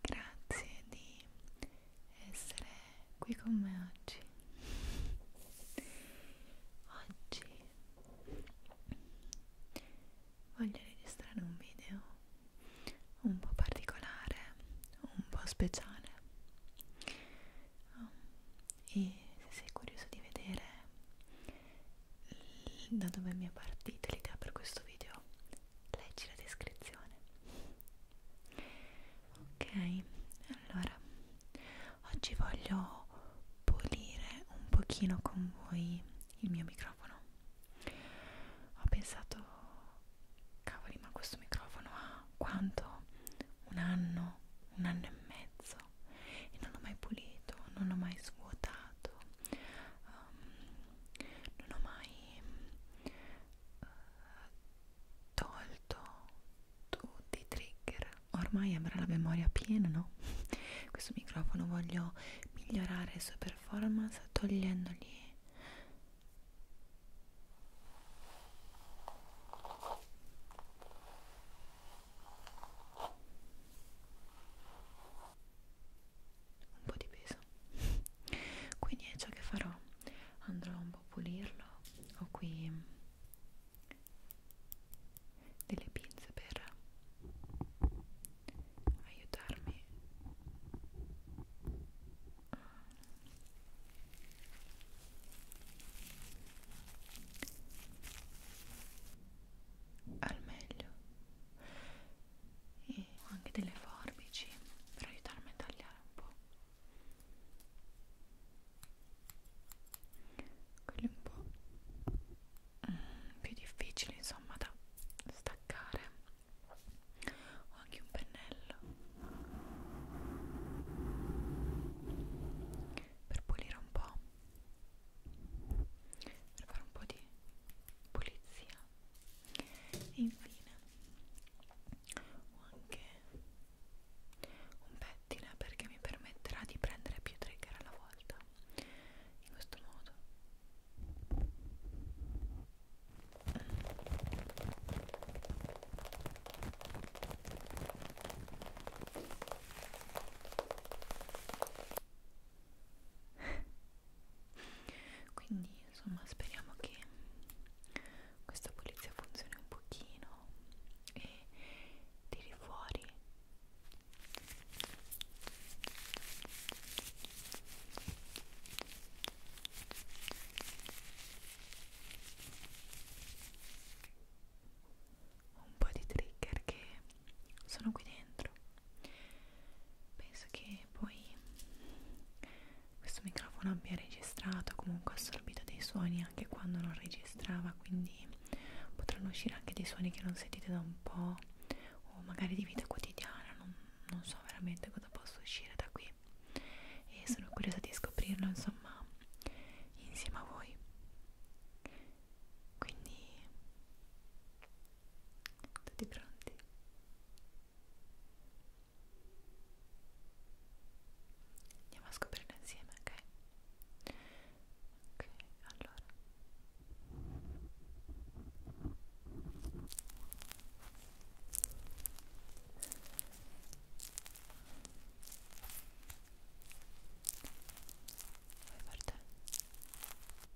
Grazie di essere qui con me oggi. Oggi voglio registrare un video un po' particolare, un po' speciale. Oh, e se sei curioso di vedere da dove mi è partita l'idea per questo video, leggi la descrizione ok allora oggi voglio pulire un pochino con voi il mio microfono ho pensato cavoli ma questo microfono ha quanto un anno un anno e mezzo e non l'ho mai pulito non l'ho mai svuotato um, non ho mai uh, tolto tutti i trigger ormai avrà la memoria piena no? questo microfono voglio migliorare le sue performance togliendogli un po' di peso quindi è ciò che farò andrò un po' a pulirlo ho qui mm, delle pinze per aiutarmi al meglio e ho anche delle forbici per aiutarmi a tagliare un po' quelli un po' mm, più difficili insomma da staccare ho anche un pennello per pulire un po' per fare un po' di pulizia e infine ho anche un pettine perché mi permetterà di prendere più trigger alla volta in questo modo quindi insomma speriamo che questa pulizia funzioni un pochino e tiri fuori un po' di trigger che sono qui dentro penso che poi questo microfono abbia registrato comunque assorbito dei suoni anche quando non registrava quindi potranno uscire anche dei suoni che non sentite da un po' o magari di vita quotidiana non, non so veramente cosa possa uscire da qui e sono curiosa di scoprirlo insomma insieme a voi quindi tutti pronti? Andiamo a scoprirlo insieme, ok? Ok, allora Vai per te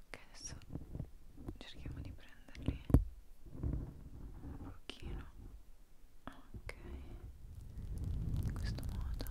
ok adesso cerchiamo di prenderli un pochino ok in questo modo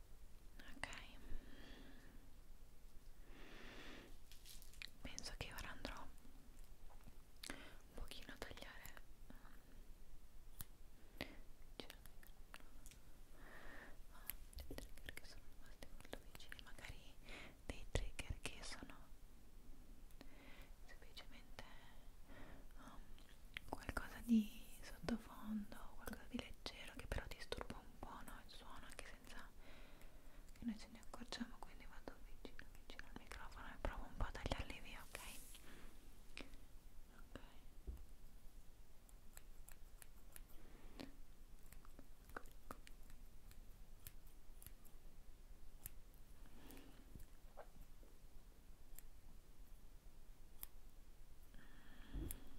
ok penso che ora andrò un pochino a tagliare ehm, cioè, ma ah, dei trigger che sono rimasti molto vicini magari dei trigger che sono semplicemente um, qualcosa di sotto sottofondo o qualcosa di leggero che però disturba un po' no, il suono anche senza che noi ce ne accorgiamo quindi vado vicino vicino al microfono e provo un po' a tagliarli via ok? ok ok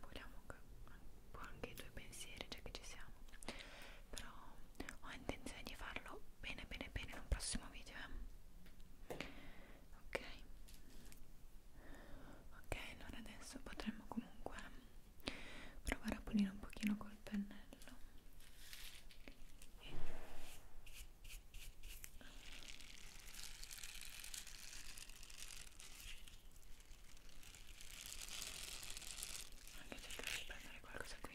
Vogliamo che un po' anche i tuoi pensieri, già che ci siamo. Però ho intenzione di farlo bene bene bene in un prossimo video. Eh? ok ok allora adesso potremmo comunque provare a pulire un pochino col pennello e... anche cercare di prendere qualcosa qui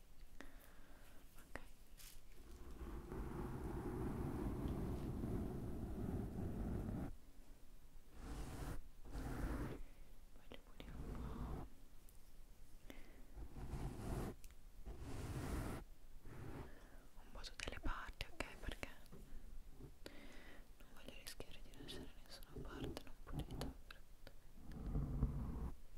un po' tutte le parti ok perché non voglio rischiare di lasciare nessuna parte non pulita perfettamente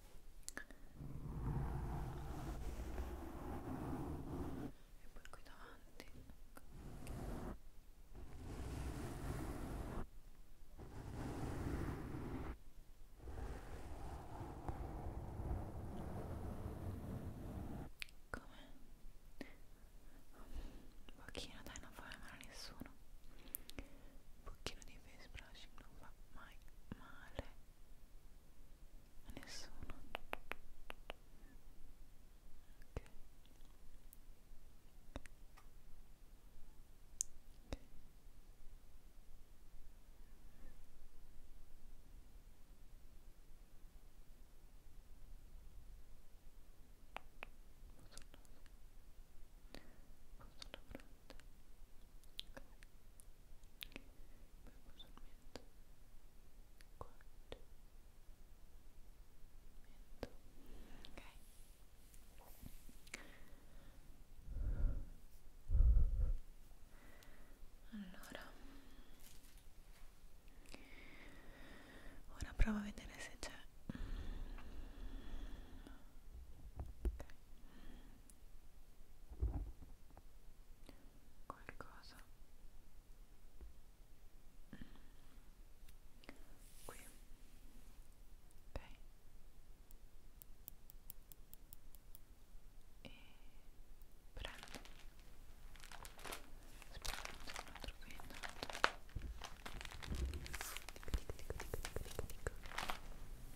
e poi qui davanti come? un pochino dai non fa male a nessuno un pochino di face brushing non fa mai male Nessuno. Ok. Posso la fronte. Okay. Allora ora provo a vedere se c'è okay qualcosa mm. qui ok e prendo aspetta qui intanto tic tic tic tic tic tic tic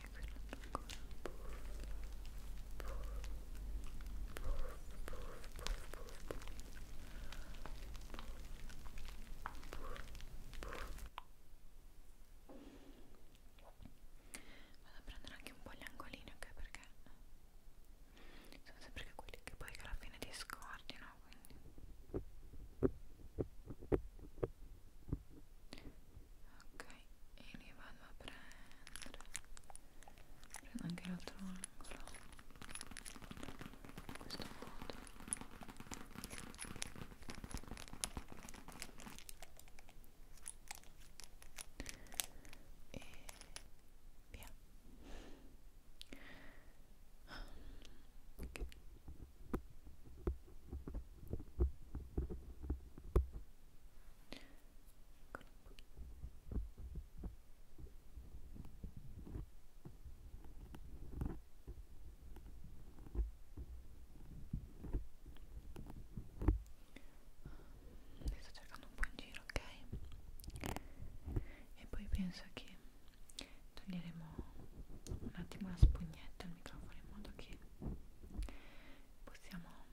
Vado a prendere anche un po' gli angolini, ok? Perché sono sempre che quelli che poi alla fine ti scordi, no? Quindi ok e li vado a prendere prendo anche l'altro angolo in questo modo e via okay ne sto cercando un po' in giro ok e poi penso che toglieremo un attimo la spugnetta al microfono in modo che possiamo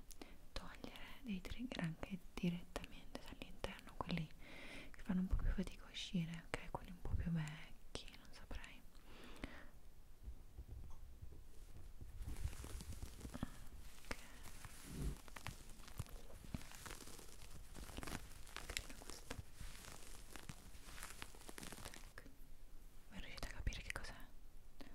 togliere dei trigger anche direttamente dall'interno, quelli che fanno un po' più fatica a uscire, ok? Quelli un po' più vecchi, non saprei. Okay. questo. Ecco. Ma riuscite a capire che cos'è?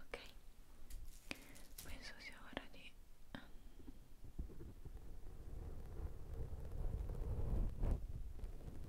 Ok, penso sia ora di... Ehm,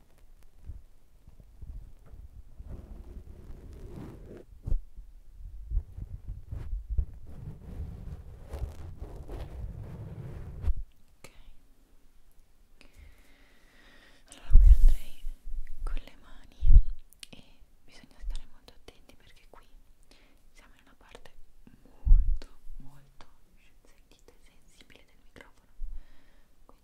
allora qui andrei con le mani e bisogna stare molto attenti perché qui siamo in una parte molto molto sentita e sensibile del microfono quindi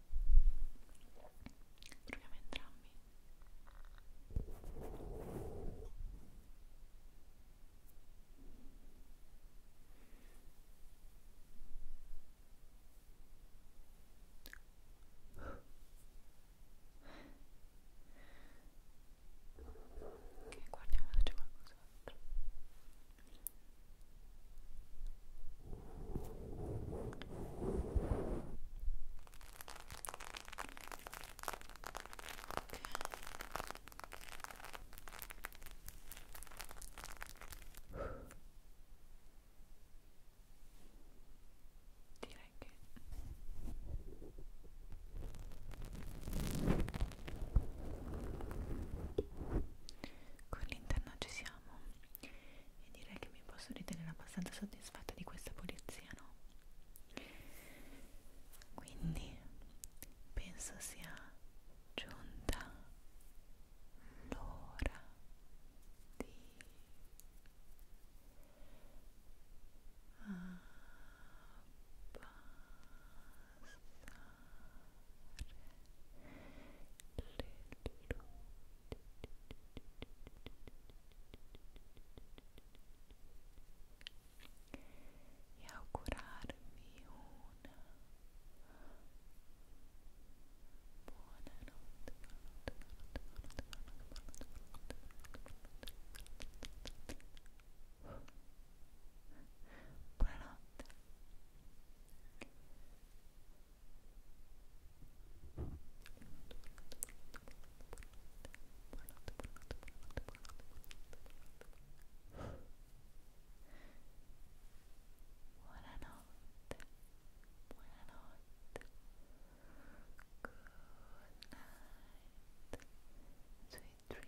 proviamo entrambi Ok, guardiamo se c'è qualcos'altro. Direi che con l'interno ci siamo abbiamo e direi che mi posso ritenere abbastanza soddisfatta di questa pulizia, no? Quindi penso sia giunta l'ora di abbassare ah, e augurarmi una buona notte, buona notte, buona notte, buona Buonanotte, buonanotte, good night, sweet dreams, buenas noches,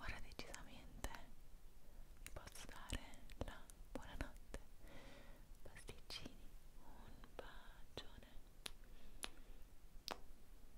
ora decisamente vi posso dare la buonanotte pasticcini un bacione Calispera